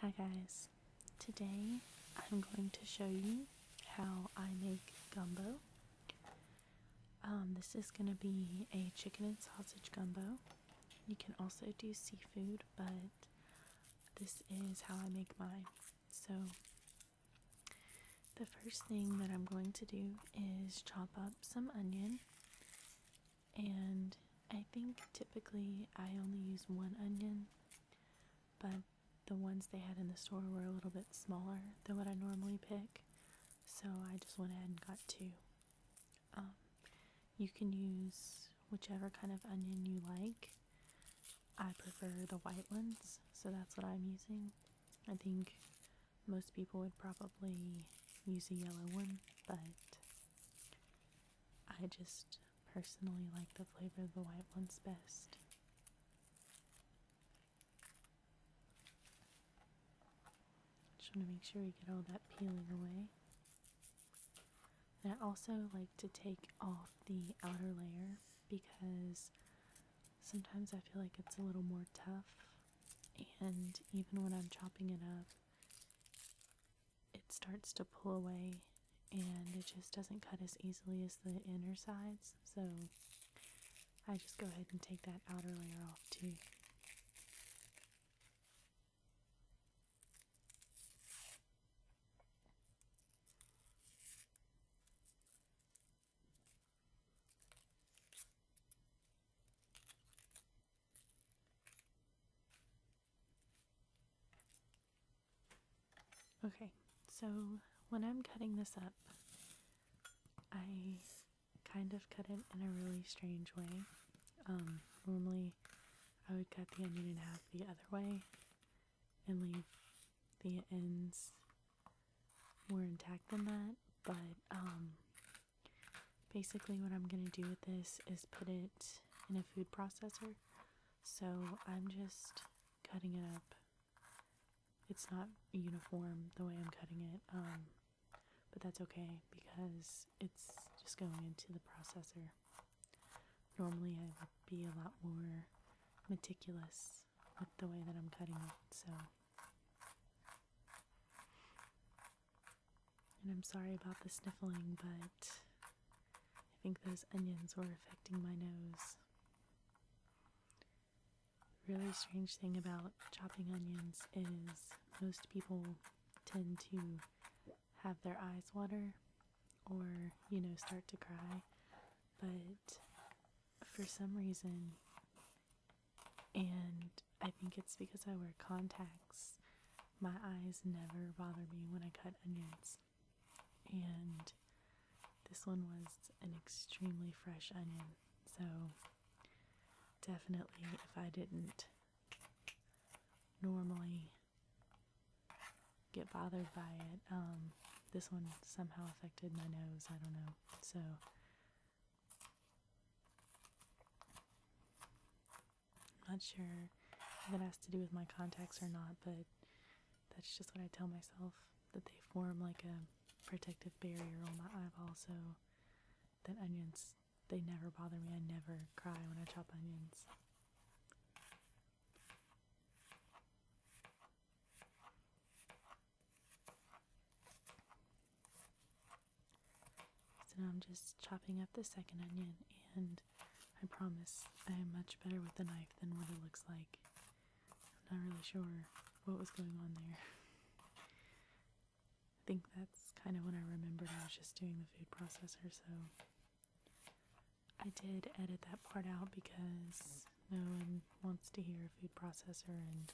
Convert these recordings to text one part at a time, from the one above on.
Hi guys, today I'm going to show you how I make gumbo. Um, this is going to be a chicken and sausage gumbo. You can also do seafood, but this is how I make mine. So, the first thing that I'm going to do is chop up some onion and I think typically I only use one onion, but the ones they had in the store were a little bit smaller than what I normally pick, so I just went ahead and got two. Um, you can use whichever kind of onion you like. I prefer the white ones, so that's what I'm using. I think most people would probably use a yellow one, but I just personally like the flavor of the white ones best. Just want to make sure we get all that peeling away. And I also like to take off the outer layer because sometimes I feel like it's a little more tough and even when I'm chopping it up it starts to pull away and it just doesn't cut as easily as the inner sides so I just go ahead and take that outer layer off too. Okay, so when I'm cutting this up, I kind of cut it in a really strange way. Um, normally, I would cut the onion in half the other way and leave the ends more intact than that. But um, basically, what I'm going to do with this is put it in a food processor, so I'm just cutting it up. It's not uniform the way I'm cutting it, um, but that's okay because it's just going into the processor. Normally, I would be a lot more meticulous with the way that I'm cutting it, so and I'm sorry about the sniffling, but I think those onions were affecting my nose. really strange thing about chopping onions is most people tend to have their eyes water or, you know, start to cry. But for some reason, and I think it's because I wear contacts, my eyes never bother me when I cut onions. And this one was an extremely fresh onion. So definitely if I didn't normally get bothered by it, um, this one somehow affected my nose. I don't know. So I'm not sure if it has to do with my contacts or not, but that's just what I tell myself that they form like a protective barrier on my eyeball, so that onions they never bother me. I never cry when I chop onions. So now I'm just chopping up the second onion and I promise I am much better with the knife than what it looks like. I'm not really sure what was going on there. I think that's kind of when I remembered I was just doing the food processor, so I did edit that part out because no one wants to hear a food processor and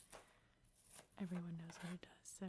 everyone knows what it does, so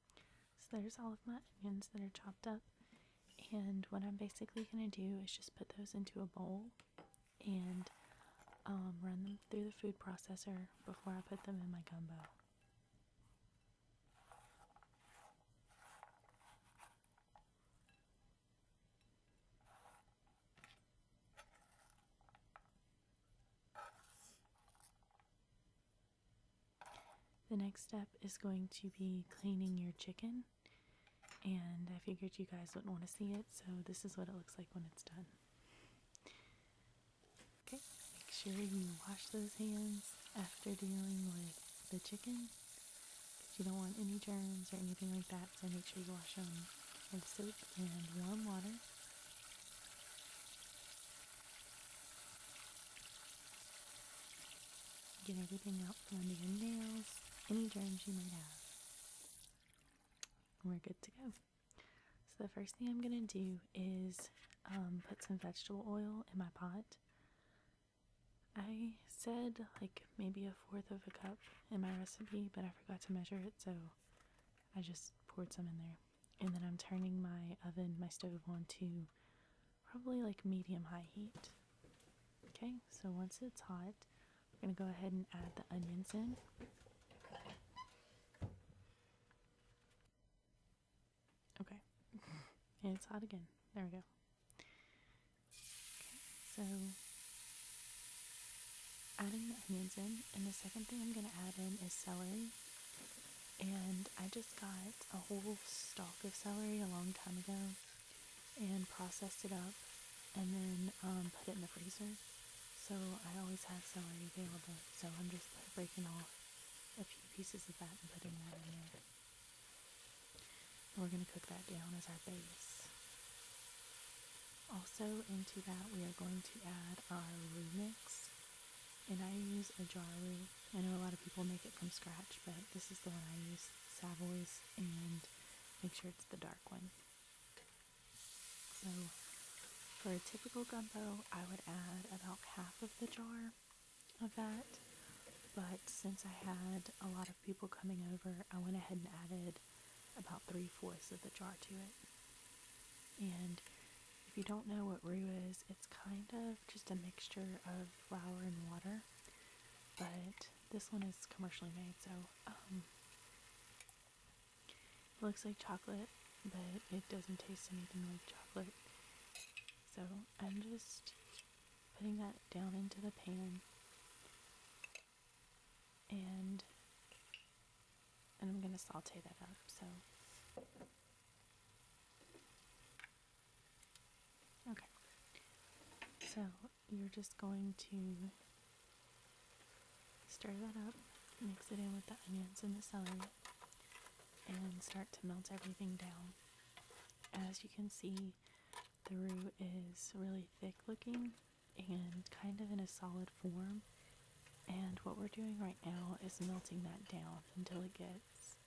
so there's all of my onions that are chopped up. And what I'm basically going to do is just put those into a bowl and um, run them through the food processor before I put them in my gumbo. The next step is going to be cleaning your chicken, and I figured you guys wouldn't want to see it, so this is what it looks like when it's done. Okay, make sure you wash those hands after dealing with the chicken because you don't want any germs or anything like that, so make sure you wash them with soap and warm water. Get everything out from under your nails, any germs you might have. We're good to go. So the first thing I'm gonna do is um, put some vegetable oil in my pot. I said like maybe a fourth of a cup in my recipe, but I forgot to measure it, so I just poured some in there. And then I'm turning my oven, my stove on to probably like medium high heat. Okay, so once it's hot, I'm going to go ahead and add the onions in. Okay, it's hot again. There we go. Okay, so adding the onions in, and the second thing I'm going to add in is celery and I just got a whole stalk of celery a long time ago and processed it up and then um, put it in the freezer. So I always have celery available. So I'm just breaking off a few pieces of that and putting that in there. And we're going to cook that down as our base. Also into that we are going to add our roux mix. And I use a jar roux I know a lot of people make it from scratch, but this is the one I use, Savoy's, and make sure it's the dark one. So for a typical gumbo, I would add about half of the jar of that, but since I had a lot of people coming over, I went ahead and added about three-fourths of the jar to it. And if you don't know what roux is, it's kind of just a mixture of flour and water but this one is commercially made, so um, it looks like chocolate, but it doesn't taste anything like chocolate. So I'm just putting that down into the pan, and and I'm gonna saute that up. So. Okay. So you're just going to stir that up, mix it in with the onions and the celery, and start to melt everything down. As you can see, the roux is really thick looking and kind of in a solid form. And what we're doing right now is melting that down until it gets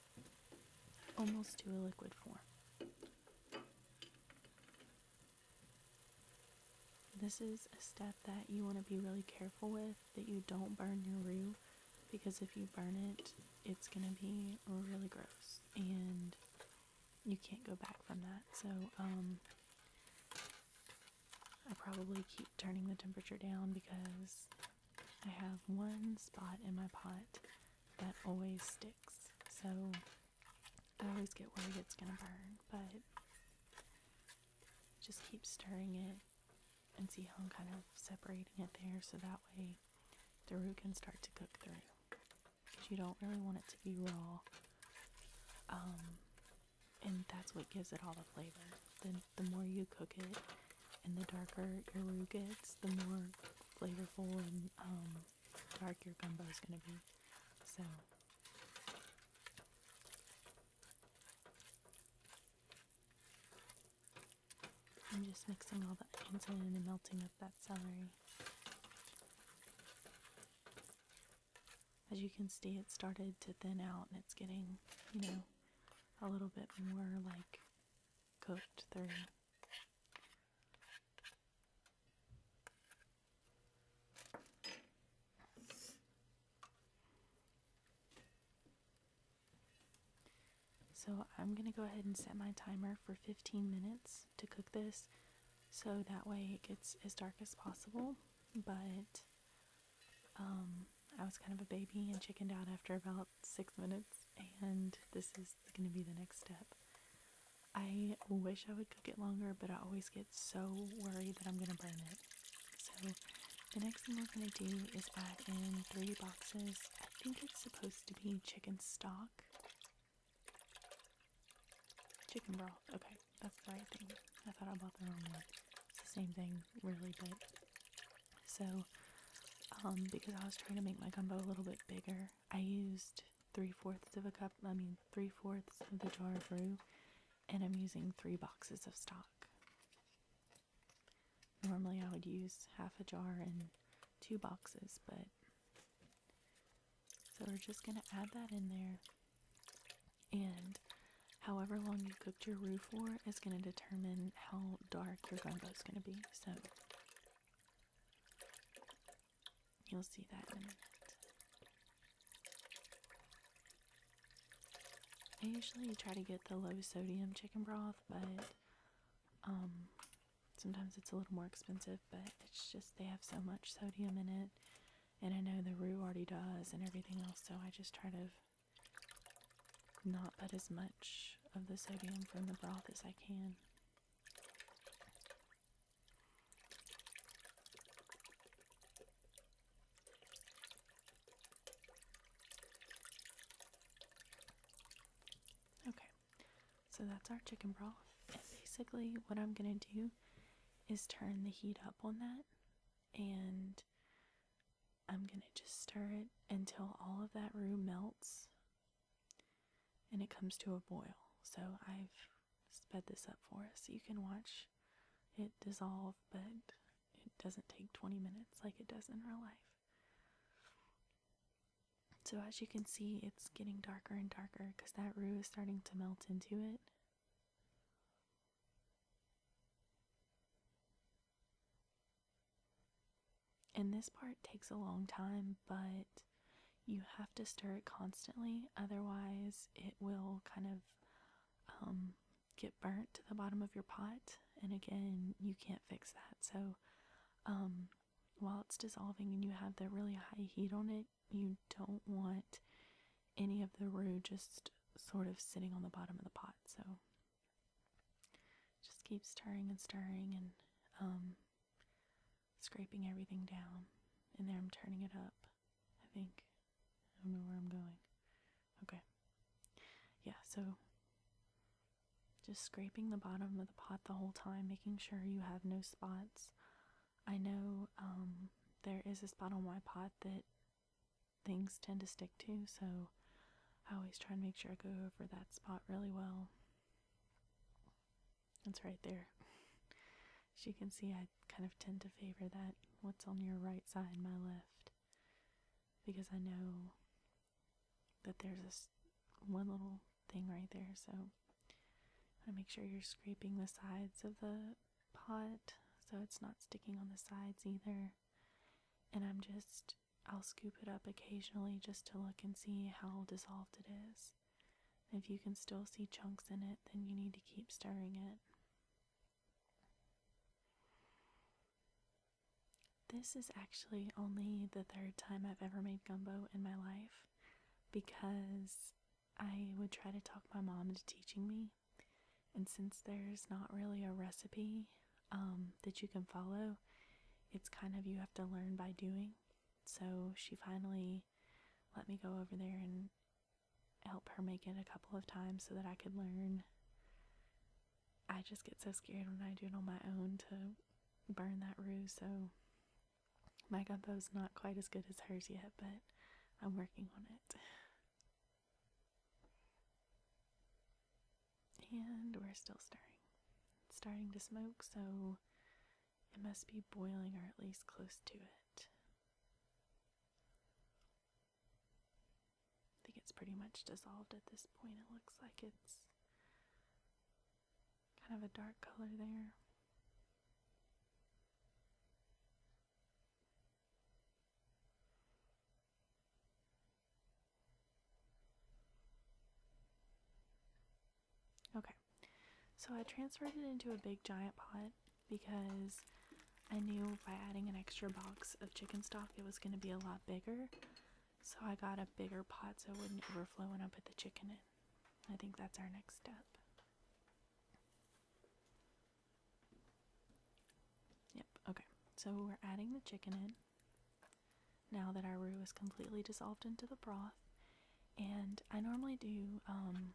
almost to a liquid form. This is a step that you want to be really careful with that you don't burn your roux because if you burn it, it's going to be really gross and you can't go back from that. So, um, I probably keep turning the temperature down because I have one spot in my pot that always sticks, so I always get worried it's gonna burn, but just keep stirring it and see how I'm kind of separating it there so that way the root can start to cook through. Because you don't really want it to be raw. Um, and that's what gives it all the flavor. The, the more you cook it, and the darker your roux gets, the more flavorful and um, dark your gumbo is going to be. So. I'm just mixing all that in and melting up that celery. As you can see, it started to thin out and it's getting, you know, a little bit more like cooked through. So I'm going to go ahead and set my timer for 15 minutes to cook this so that way it gets as dark as possible. But um, I was kind of a baby and chickened out after about six minutes, and this is going to be the next step. I wish I would cook it longer, but I always get so worried that I'm going to burn it. So the next thing we're going to do is add in three boxes. I think it's supposed to be chicken stock. Chicken broth. Okay, that's the right thing. I thought I bought the wrong one. It's the same thing, really, but so, um, because I was trying to make my gumbo a little bit bigger, I used three fourths of a cup, I mean, three fourths of the jar of roux, and I'm using three boxes of stock. Normally, I would use half a jar and two boxes, but so we're just going to add that in there. And however long you cooked your roux for is going to determine how dark your gumbo is going to be. So You'll see that in a minute. I usually try to get the low sodium chicken broth, but um, sometimes it's a little more expensive, but it's just they have so much sodium in it. And I know the roux already does and everything else, so I just try to not put as much of the sodium from the broth as I can Okay, so that's our chicken broth. And basically, what I'm gonna do is turn the heat up on that and I'm gonna just stir it until all of that roux melts and it comes to a boil. So I've sped this up for us. You can watch it dissolve, but it doesn't take 20 minutes like it does in real life. So as you can see, it's getting darker and darker because that roux is starting to melt into it. And this part takes a long time, but you have to stir it constantly, otherwise, it will kind of um, get burnt to the bottom of your pot. And again, you can't fix that. So, um, while it's dissolving and you have the really high heat on it, you don't want any of the roux just sort of sitting on the bottom of the pot. So, just keep stirring and stirring and um, scraping everything down. And there I'm turning it up, I think. I don't know where I'm going. Okay. Yeah, so just scraping the bottom of the pot the whole time, making sure you have no spots. I know um, there is a spot on my pot that things tend to stick to, so I always try and make sure I go over that spot really well that's right there. As you can see, I kind of tend to favor that what's on your right side, my left, because I know that there's this one little thing right there. So I make sure you're scraping the sides of the pot so it's not sticking on the sides either. And I'm just I'll scoop it up occasionally just to look and see how dissolved it is. If you can still see chunks in it, then you need to keep stirring it. This is actually only the third time I've ever made gumbo in my life because I would try to talk my mom into teaching me. And since there's not really a recipe, um, that you can follow. It's kind of you have to learn by doing. So she finally let me go over there and help her make it a couple of times so that I could learn. I just get so scared when I do it on my own to burn that roux, so my gumbo's not quite as good as hers yet, but I'm working on it. And we're still stirring. starting to smoke, so it must be boiling or at least close to it. I think it's pretty much dissolved at this point. It looks like it's kind of a dark color there. Okay, so I transferred it into a big giant pot because I knew by adding an extra box of chicken stock it was going to be a lot bigger. So I got a bigger pot so it wouldn't overflow when I put the chicken in. I think that's our next step. Yep, okay. So we're adding the chicken in now that our roux is completely dissolved into the broth. And I normally do um,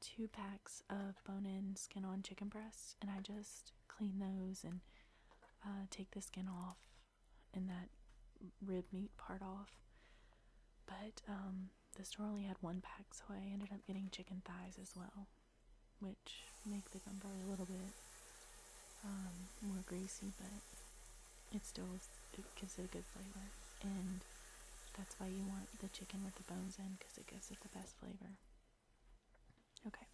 two packs of bone-in skin-on chicken breasts, and I just clean those and uh, take the skin off and that rib meat part off. But um, the store only had one pack, so I ended up getting chicken thighs as well, which make the gumbo a little bit um, more greasy, but it still gives it a good flavor, and that's why you want the chicken with the bones in because it gives it the best flavor. Okay,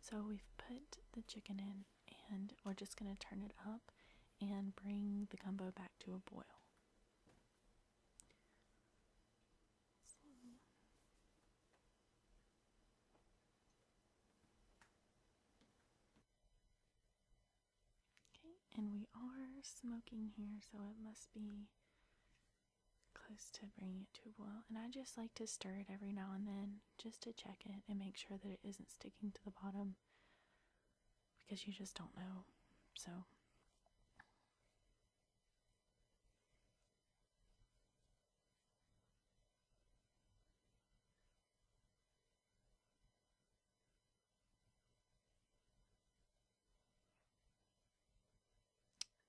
so we've put the chicken in, and we're just gonna turn it up and bring the gumbo back to a boil. Okay, and we are smoking here, so it must be close to bringing it to a boil. And I just like to stir it every now and then just to check it and make sure that it isn't sticking to the bottom because you just don't know. So.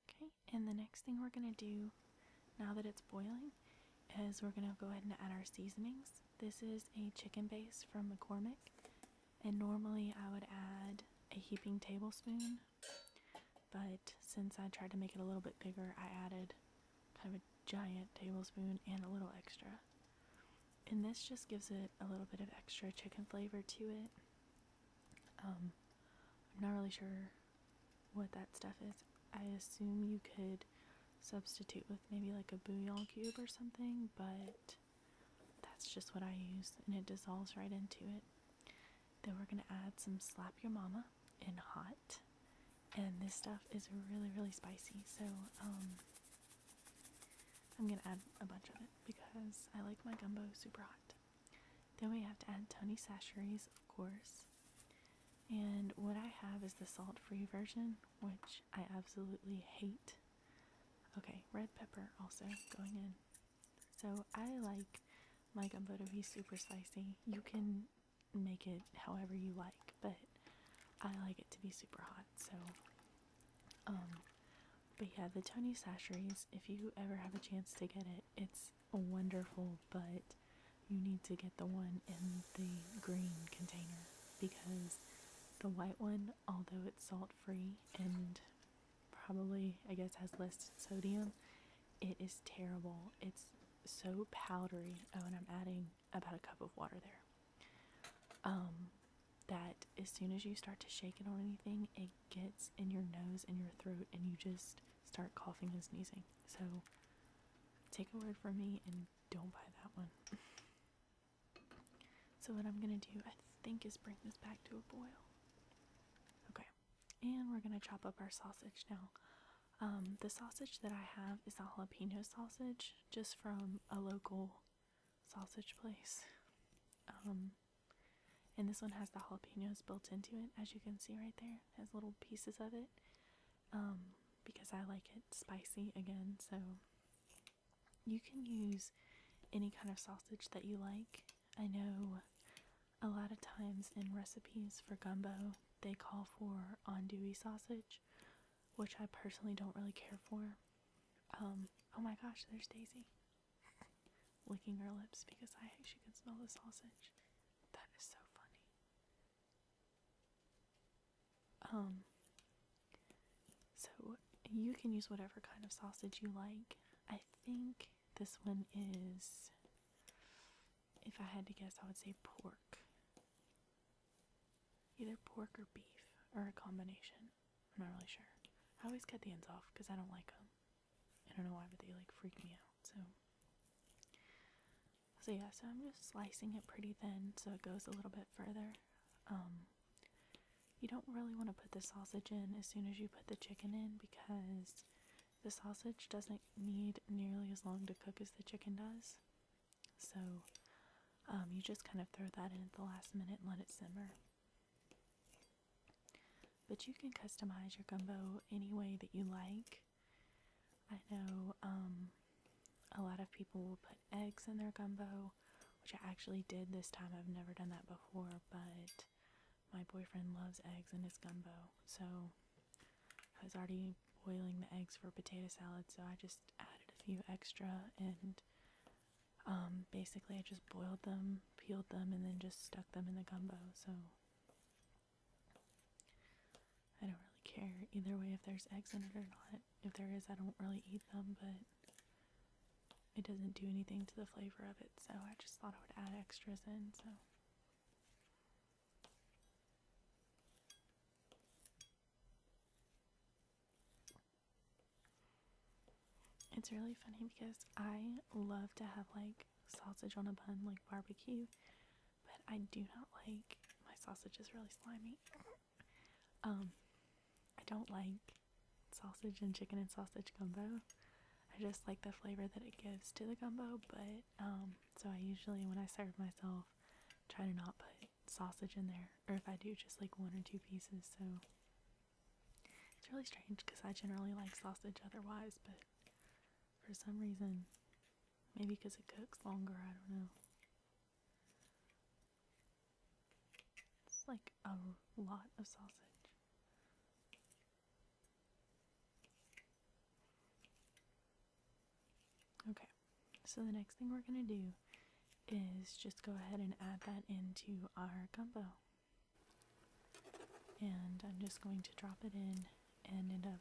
Okay, and the next thing we're going to do now that it's boiling is we're going to go ahead and add our seasonings. This is a chicken base from McCormick, and normally I would add a heaping tablespoon, but since I tried to make it a little bit bigger, I added kind of a giant tablespoon and a little extra. And this just gives it a little bit of extra chicken flavor to it. Um, I'm not really sure what that stuff is. I assume you could substitute with maybe like a bouillon cube or something, but that's just what I use and it dissolves right into it. Then we're going to add some Slap Your Mama in hot and this stuff is really really spicy so um, I'm gonna add a bunch of it because I like my gumbo super hot. Then we have to add Tony Sacheries, of course. And what I have is the salt free version, which I absolutely hate. Okay, red pepper also going in. So I like my gumbo to be super spicy. You can make it however you like, but I like it to be super hot, so um, but yeah, the Tony Sasheries, if you ever have a chance to get it, it's wonderful, but you need to get the one in the green container because the white one, although it's salt free and probably, I guess, has less sodium, it is terrible. It's so powdery. Oh, and I'm adding about a cup of water there. Um, that as soon as you start to shake it or anything, it gets in your nose and your throat, and you just start coughing and sneezing. So, take a word from me and don't buy that one. so, what I'm gonna do, I think, is bring this back to a boil. Okay, and we're gonna chop up our sausage now. Um, the sausage that I have is a jalapeno sausage, just from a local sausage place. Um, and this one has the jalapenos built into it, as you can see right there. It has little pieces of it. Um, because I like it spicy again, so you can use any kind of sausage that you like. I know a lot of times in recipes for gumbo, they call for andouille sausage, which I personally don't really care for. Um, oh my gosh, there's Daisy licking her lips because I she can smell the sausage. That is so funny. Um, so you can use whatever kind of sausage you like. I think this one is, if I had to guess, I would say pork. Either pork or beef, or a combination. I'm not really sure. I always cut the ends off because I don't like them. I don't know why, but they like freak me out. So, so yeah. So I'm just slicing it pretty thin so it goes a little bit further. Um, you don't really want to put the sausage in as soon as you put the chicken in because the sausage doesn't need nearly as long to cook as the chicken does. So um, you just kind of throw that in at the last minute and let it simmer. But you can customize your gumbo any way that you like. I know um, a lot of people will put eggs in their gumbo, which I actually did this time. I've never done that before, but my boyfriend loves eggs in his gumbo. So I was already boiling the eggs for potato salad, so I just added a few extra and um, basically I just boiled them, peeled them, and then just stuck them in the gumbo. So I don't really care either way if there's eggs in it or not. If there is, I don't really eat them, but it doesn't do anything to the flavor of it, so I just thought I would add extras in. So. It's really funny because I love to have like sausage on a bun, like barbecue, but I do not like my sausage is really slimy. um, I don't like sausage and chicken and sausage gumbo. I just like the flavor that it gives to the gumbo, but um, so I usually when I serve myself try to not put sausage in there, or if I do, just like one or two pieces. So it's really strange because I generally like sausage otherwise, but for some reason, maybe because it cooks longer, I don't know. It's like a lot of sausage. Okay, so the next thing we're going to do is just go ahead and add that into our gumbo. And I'm just going to drop it in and end up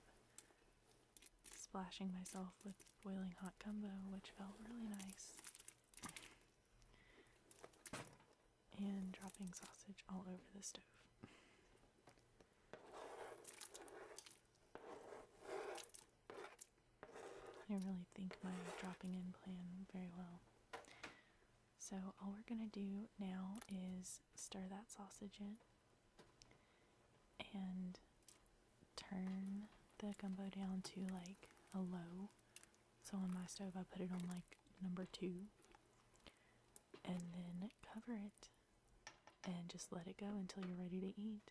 splashing myself with boiling hot gumbo, which felt really nice. And dropping sausage all over the stove. I really think my dropping in plan very well. So, all we're going to do now is stir that sausage in and turn the gumbo down to like a low. So, on my stove, I put it on like number two and then cover it and just let it go until you're ready to eat.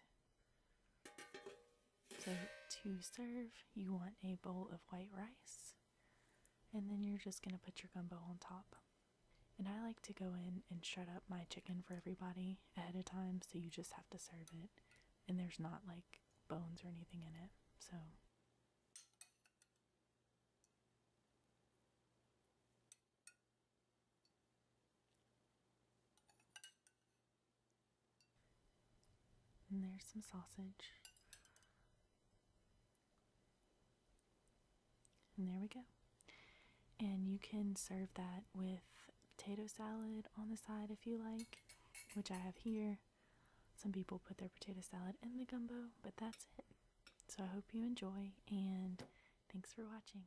So to serve, you want a bowl of white rice, and then you're just going to put your gumbo on top. And I like to go in and shred up my chicken for everybody ahead of time, so you just have to serve it, and there's not like bones or anything in it. So and there's some sausage. And there we go. And you can serve that with potato salad on the side if you like, which I have here. Some people put their potato salad in the gumbo, but that's it. So I hope you enjoy and thanks for watching.